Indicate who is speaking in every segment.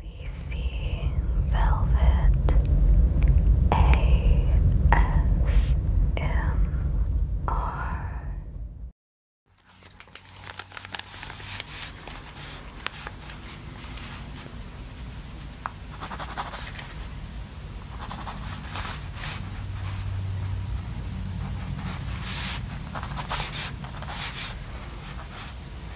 Speaker 1: Leafy Velvet ASMR.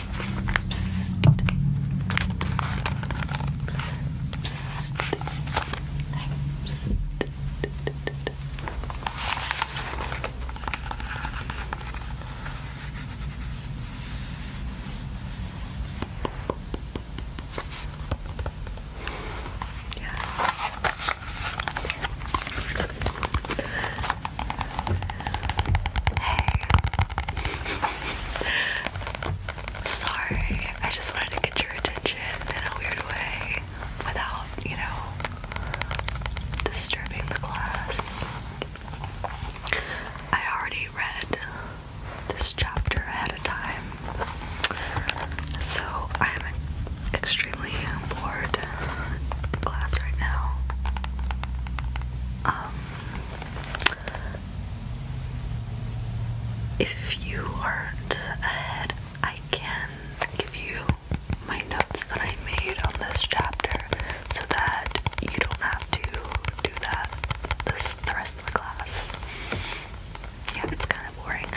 Speaker 1: Psst. Psst. Psst. Yeah. Hey. Sorry, I just wanted to get your attention in a weird way without, you know, disturbing the class. I already read this chapter ahead of time, so I'm extremely bored in class right now. Um, if you aren't ahead, I can give you my notes that I made on this chapter so that you don't have to do that this, the rest of the class. Yeah, it's kind of boring.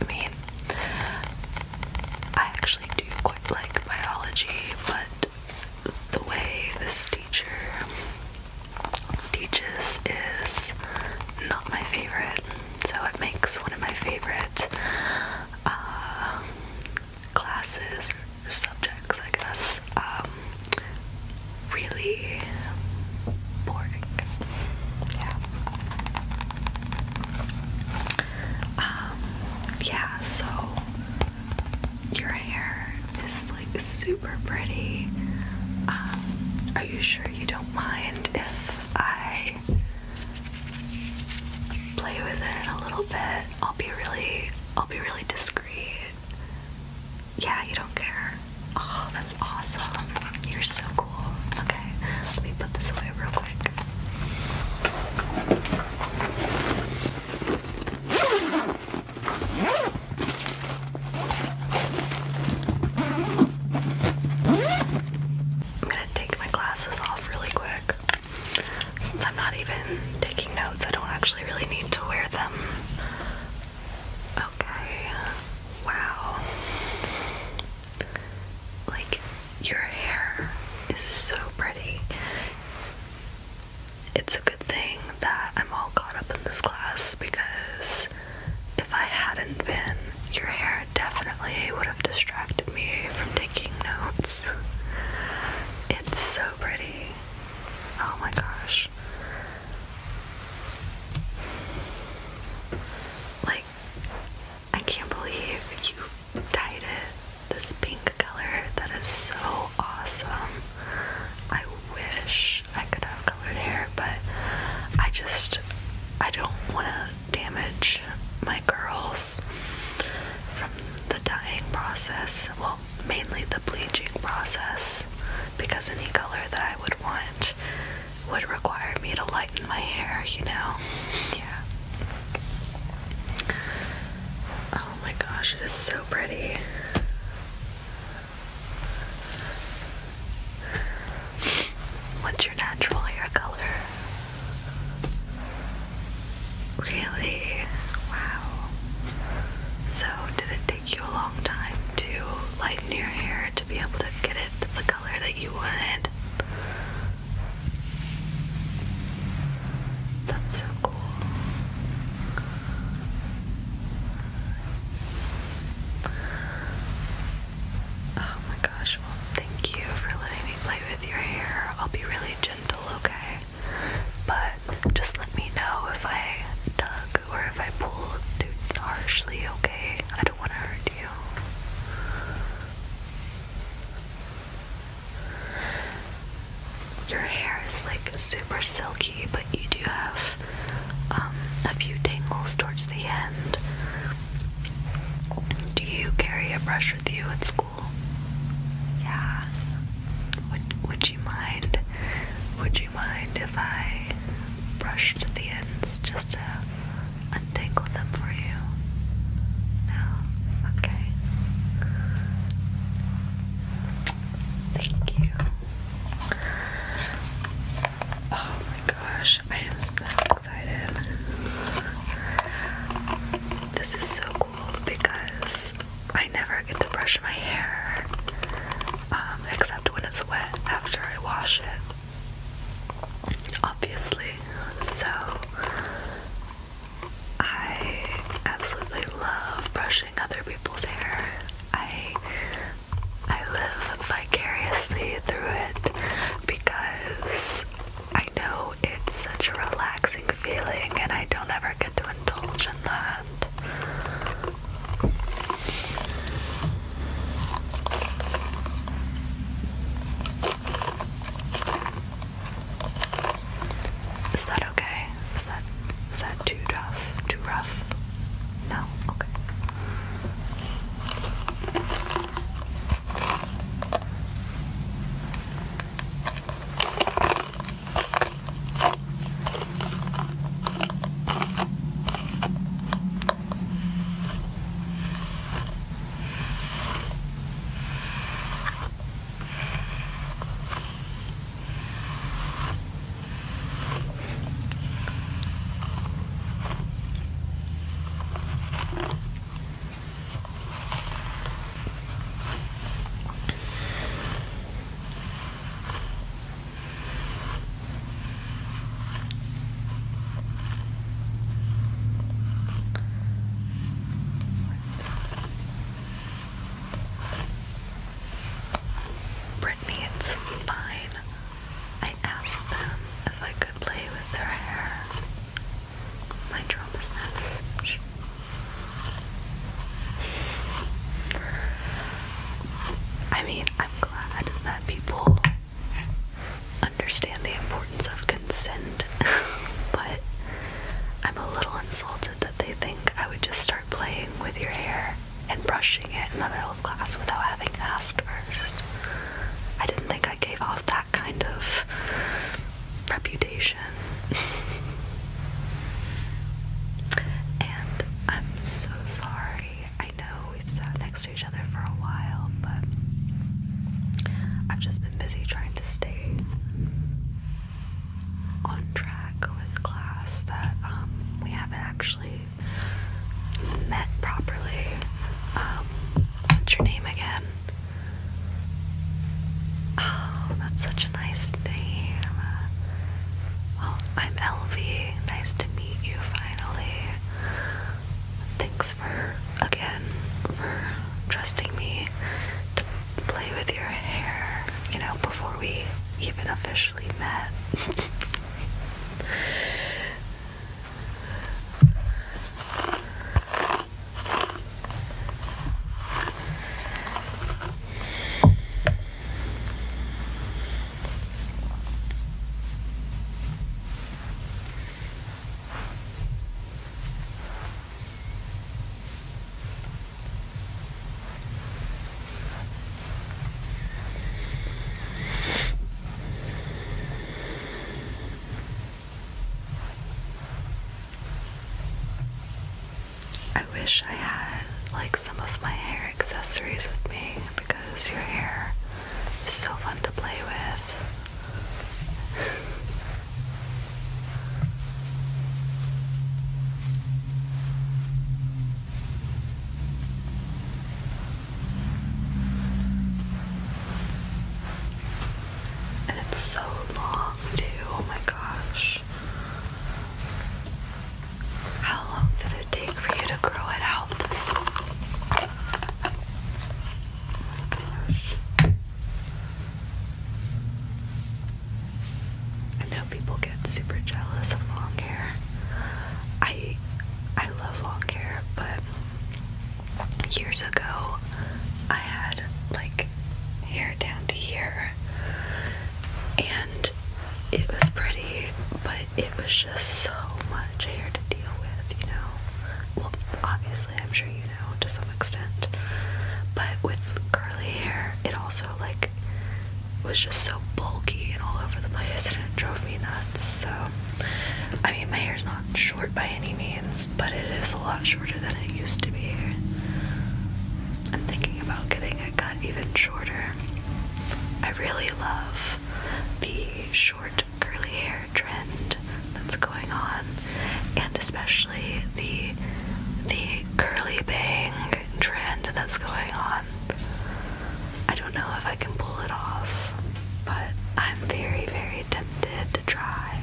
Speaker 1: I mean, I actually do quite like biology, but the way this teacher Teaches is not my favorite, so it makes one of my favorite uh, classes or subjects, I guess, um, really boring. Yeah. Um, yeah, so your hair is like super pretty. Um, are you sure you don't mind if I play with it a little bit? I'll be really, I'll be really discreet. Yeah, you don't care. Oh, that's awesome. You're so cool. Okay, let me put this away real quick. I'm gonna take my glasses off really quick. Since I'm not even taking notes, I don't actually really need to wear them. Okay. Wow. Like, your hair is so pretty it's a good thing that I'm all caught up in this class because if I hadn't been, your hair definitely would have distracted me from taking notes. It's so pretty. Oh my gosh. Like, I can't believe you dyed it this pink color. That is so awesome. I wish I could have colored hair, but I just I don't want to damage my curls from the dyeing process. Well, mainly the bleaching process because any color that I would want would require me to lighten my hair, you know. Yeah. Oh my gosh, it is so pretty. What's your natural hair color? Really? Wow. So, did it take you a long time to lighten your hair to be able to get it the color that you wanted? That's so cool. Oh my gosh, well, thank you for letting me play with your hair. I'll be really gentle, okay? But just let me know if I tug or if I pull too harshly, okay? I don't want to hurt you. Your hair is like super silky, but you do have um, a few tangles towards the end. Do you carry a brush with you at school? Yeah. Would, would you mind? Would you mind if I brushed the ends just to untangle them for you? No. Okay. Thank you. Oh my gosh, I am so excited. This is so cool because I never get to brush my hair um, except when it's wet after I wash it, obviously. So I absolutely love brushing other people's hair. I I live vicariously through it because I know it's such a relaxing feeling and I don't ever get to indulge in that. Is that okay? Is that is that too rough? Too rough? No? Okay. Brittany, it's fine. I asked them if I could play with their hair. My drumlessness. I mean, I'm glad that people understand the importance of consent, but I'm a little insulted that they think I would just start playing with your hair and brushing it in the middle of class without having asked first. I didn't think I gave off that kind of reputation. and I'm so sorry. I know we've sat next to each other for a while, but I've just been busy trying to stay on track with class that um, we haven't actually met properly. Um, what's your name again? Oh, that's such a nice name. Well, I'm Elvie. Nice to meet you finally. Thanks for, again, for trusting me to play with your hair, you know, before we even officially actually met. I wish I had like some of my hair accessories with me because your hair is so fun to play with. And it's so long too, oh my gosh. How long did it take for you to grow it out Oh my gosh. I know people get super jealous of long hair. I I love long hair, but years ago I had like hair down to here and it was pretty, but it was just so much hair to deal with, you know. Well, obviously, I'm sure you know to some extent, but with curly hair, it also like was just so bulky and all over the place and it drove me nuts. So, I mean, my hair's not short by any means, but it is a lot shorter than it used to be. I'm thinking about getting it cut even shorter. I really love the short curly hair trend that's going on, and especially the the curly bang trend that's going on. I don't know if I can pull it off, but I'm very, very tempted to try.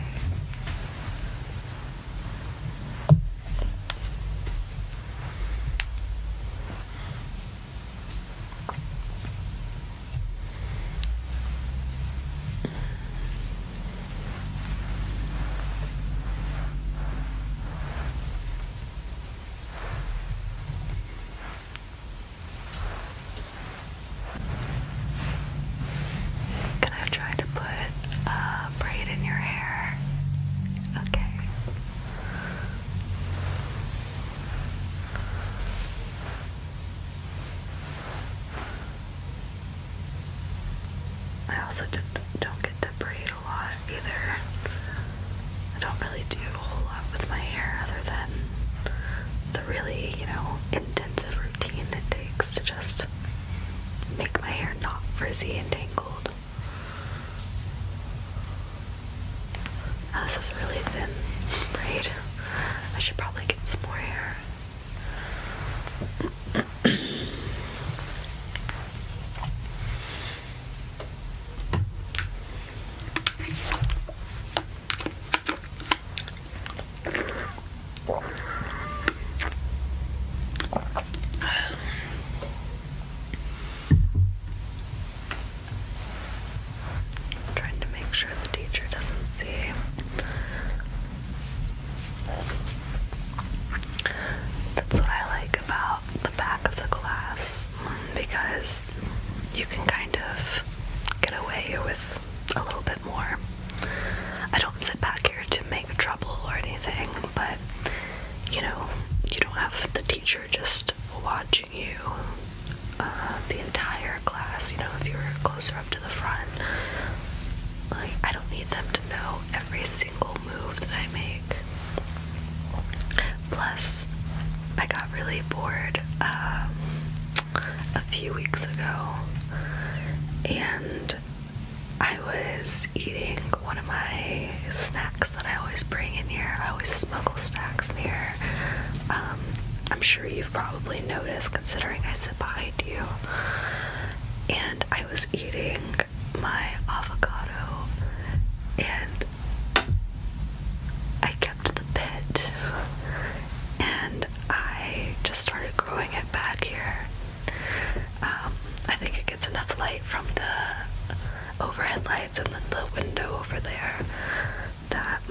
Speaker 1: Can I try to put a braid in your hair? Okay. I also don't get to braid a lot either. I don't really do a whole lot with my hair other than the really, you know, intensive routine it takes to just make my hair not frizzy and tangled. Now this is a really thin braid. I should probably get some more hair. I'm trying to make sure the teacher doesn't see. That's what I like about the back of the glass because you can kind of get away with a little bit more. I don't sit back here to make trouble or anything, but you know, you don't have the teacher just watching you uh, the entire class. You know, if you are closer up to the front, like I don't need them to know every single move that I make. Plus, I got really bored um, a few weeks ago and I was eating one of my snacks that I always bring in here. I always smuggle snacks in here. Um, I'm sure you've probably noticed considering I sit behind you. And I was eating my avocado and I kept the pit and I just started growing it back here. Um, I think it gets enough light from the overhead lights and then the window over there that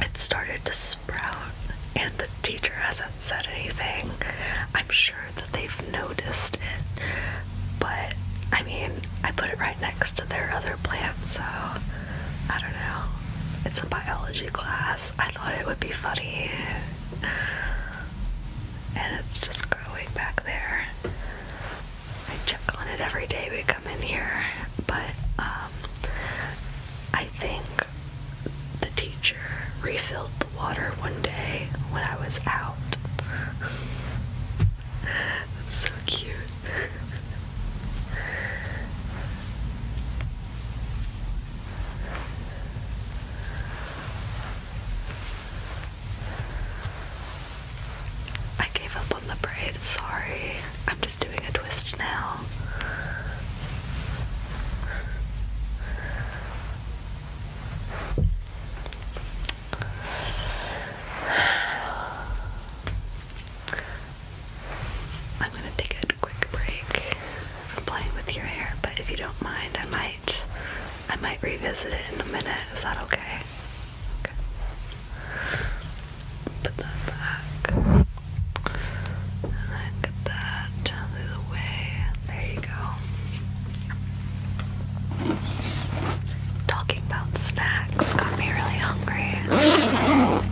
Speaker 1: it started to sprout. And the teacher hasn't said anything. I'm sure that they've noticed it, but I mean, I put it right next to their other plant, so I don't know. It's a biology class. I thought it would be funny. And it's just growing back there. I check on it every day we come in here, but um, I think the teacher refilled the water one day when I was out. That's so cute. I gave up on the braid, sorry. I'm just doing a twist now. I'm gonna take a quick break from playing with your hair, but if you don't mind, I might I might revisit it in a minute. Is that okay? Put that back. And then get that down the way. There you go. Talking about snacks got me really hungry. They're wheat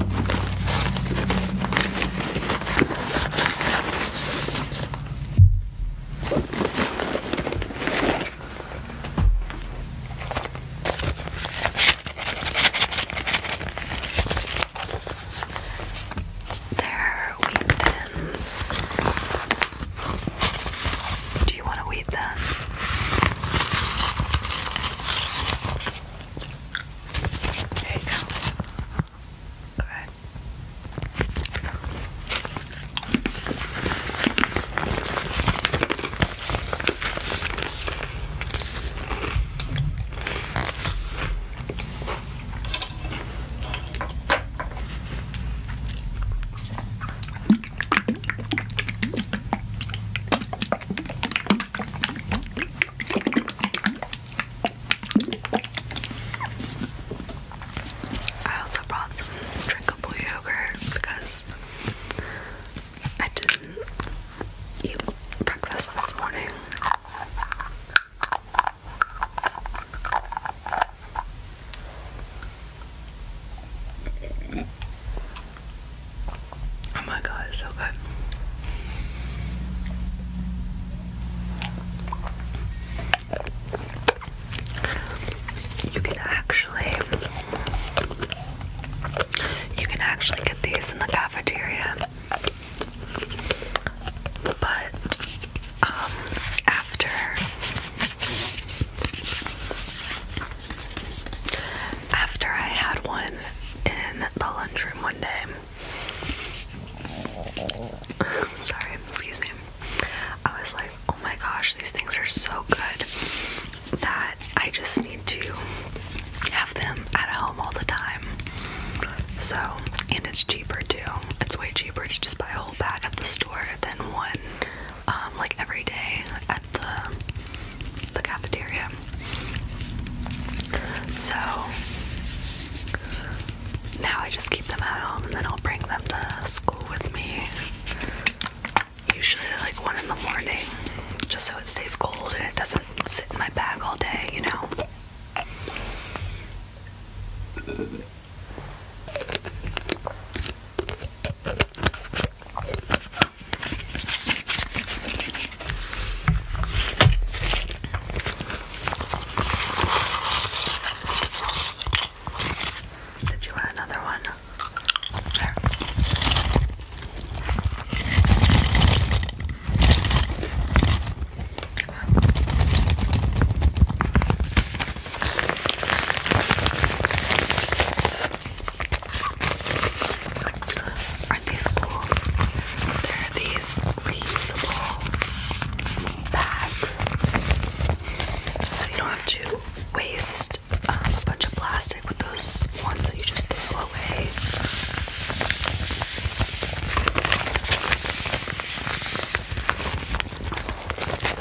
Speaker 1: do you want to eat that? There you go. Alright. I also brought some drinkable yogurt because I didn't eat breakfast this morning. Oh my god, it's so good. You can actually you can actually get these in the cafeteria. But um, after after I had one in the lunchroom one day, sorry, excuse me, I was like, oh my gosh, these things are so good that I just need to have them at home all the time. So, and it's cheaper too. It's way cheaper to just buy a whole bag at the store than one um, like every day the the cafeteria. So now I just keep them at home and then I'll bring them to school with me. Usually like one in the morning, just so it stays cold and it doesn't sit in my bag all day, you know. Did you want another one? There. Aren't these cool? They're these reusable bags. So you don't have to waste a bunch of plastic with those ones that you just throw away.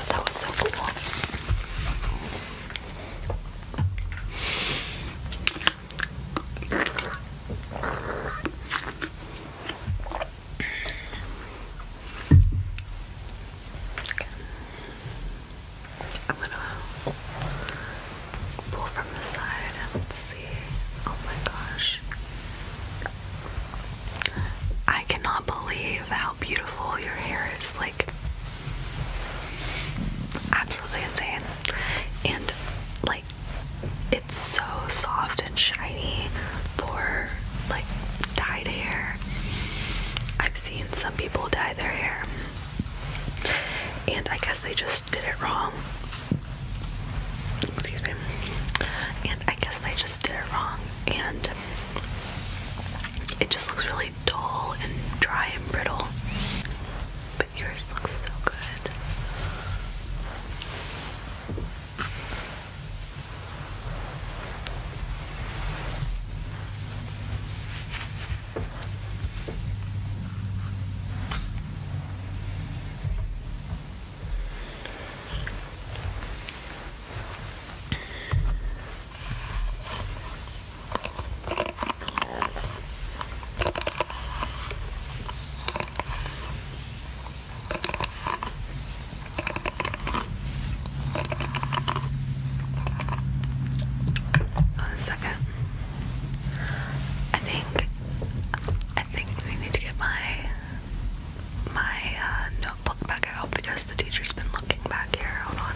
Speaker 1: that was so cool. I'm gonna pull from the side and see. Oh my gosh. I cannot believe how beautiful your hair is. Like, absolutely insane. And like it's so soft and shiny for like dyed hair. I've seen some people dye their hair. And I guess they just did it wrong. Excuse me. And I guess they just did it wrong. And it just looks really dull and dry and brittle yours looks so good. One second. I think I think we need to get my my uh, notebook back out because the teacher's been looking back here. Hold on.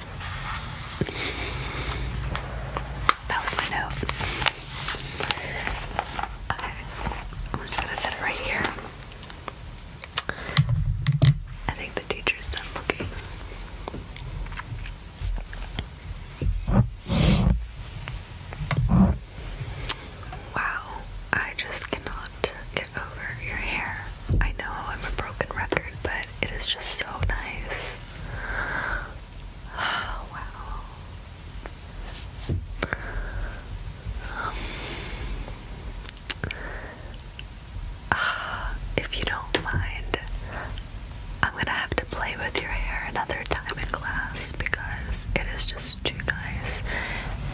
Speaker 1: That was my note. Okay, I'm just going it right here. I think the teacher's done looking. Wow, I just cannot get over your hair. I know I'm a broken record, but it is just so nice. wow. Um, if you don't mind, I'm gonna have to play with your hair another time in class because it is just too nice.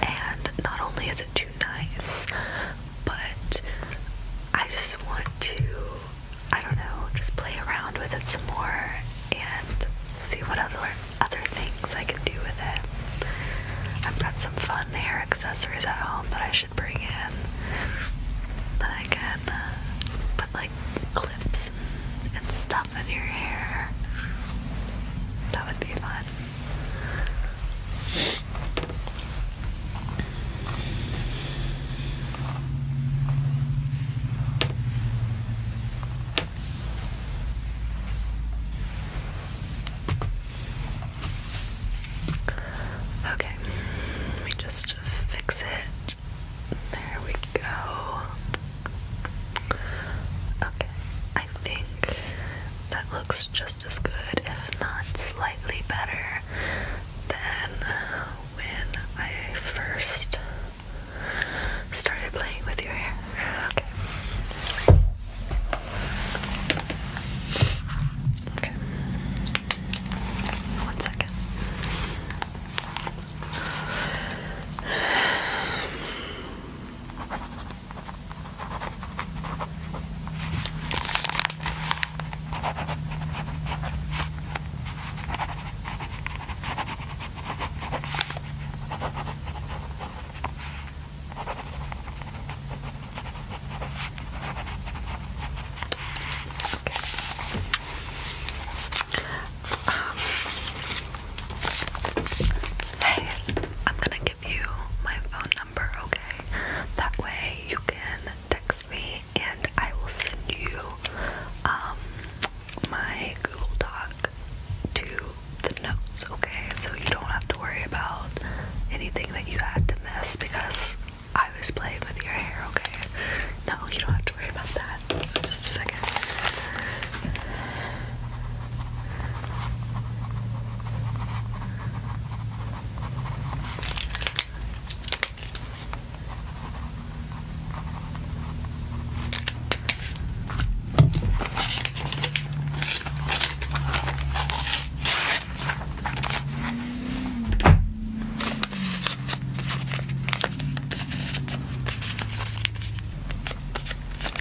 Speaker 1: And not only is it too nice, but I just want to, I don't know, just play around with it some more and see what other other things I can do with it. I've got some fun hair accessories at home that I should bring in that I can uh, put like clips and, and stuff in your hair. That would be fun. Okay, let me just fix it. There we go. Okay, I think that looks just as good, if not slightly better. Then, when I first started playing with your hair, okay. Okay. One second. Um, hey, I'm gonna give you my phone number, okay? That way you can text me and I will send you um, my Google Doc to the notes, okay? So you don't have to worry about anything that you had to miss because I was playing with your hair, okay? No, you don't have to worry about that. just a second.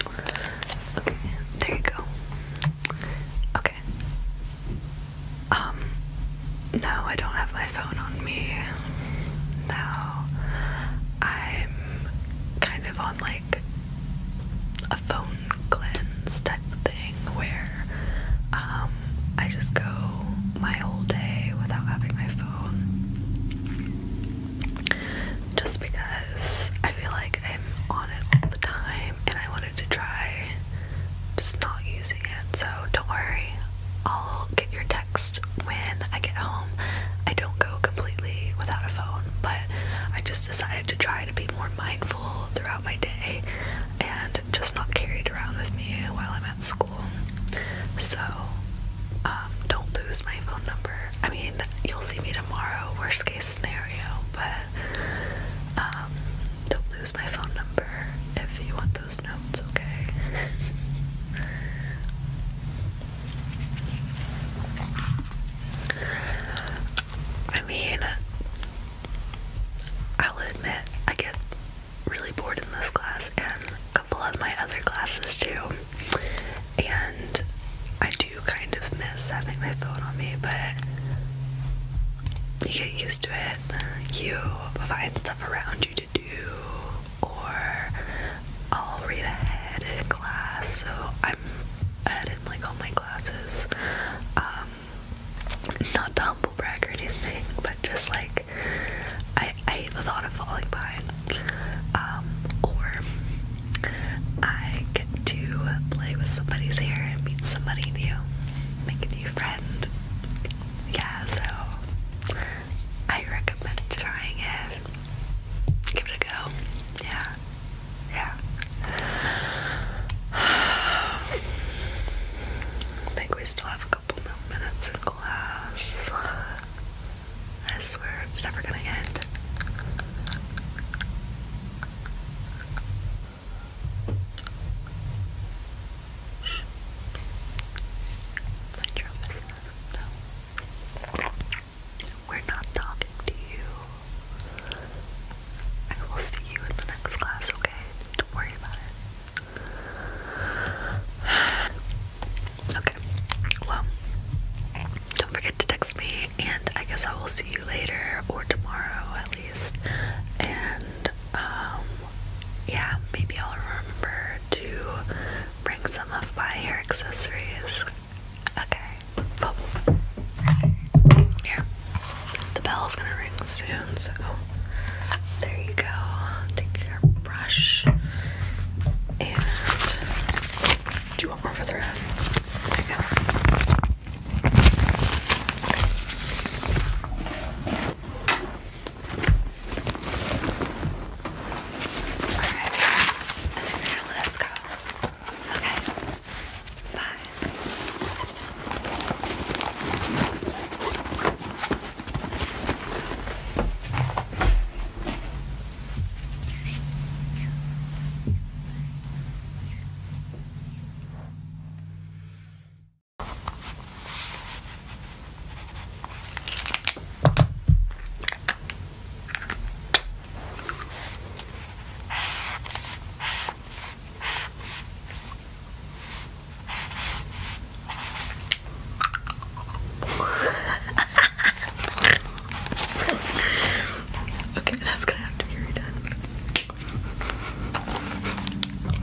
Speaker 1: Okay, there you go. Okay. Um, no, I don't have my phone on me. Now I'm kind of on like a phone cleanse type thing where um, I just go my whole day without having my phone just because I feel like I'm on it all the time and I want to try just not using it, so don't worry. I'll get your text when I get home. I don't go completely without a phone, but I just decided to try to be more mindful throughout my day and just not carry it around with me while I'm at school. So, um, don't lose my phone number. I mean, you'll see me tomorrow, worst case scenario, but um, don't lose my phone number if you want those notes, okay? I mean, I'll admit, I get really bored in this class and a couple of my other classes too. And I do kind of miss having my phone on me, but you get used to it you find stuff around you to do, or I'll read ahead in class. So I'm ahead in like all my classes. Um, not to humble brag or anything, but just like I, I hate the thought of falling behind. Um, or I get to play with somebody's hair and meet somebody new, make a new friend, yeah, so I recommend trying it. Give it a go. Yeah. Yeah. I think we still have a couple minutes in class. I swear it's never gonna end. My drum is not. We're not talking to you. I will see you in the next class, okay? Don't worry about it. Okay. Well, don't forget to text me, and I guess I will see you later or tomorrow at and um, yeah, maybe I'll remember to bring some of my hair accessories. Okay. Oh. Here. The bell's gonna ring soon, so there you go. Take your brush. And do you want more for the round? There you go. Alright. I think we're gonna let us go. Okay. Bye. okay, that's gonna have to be redone.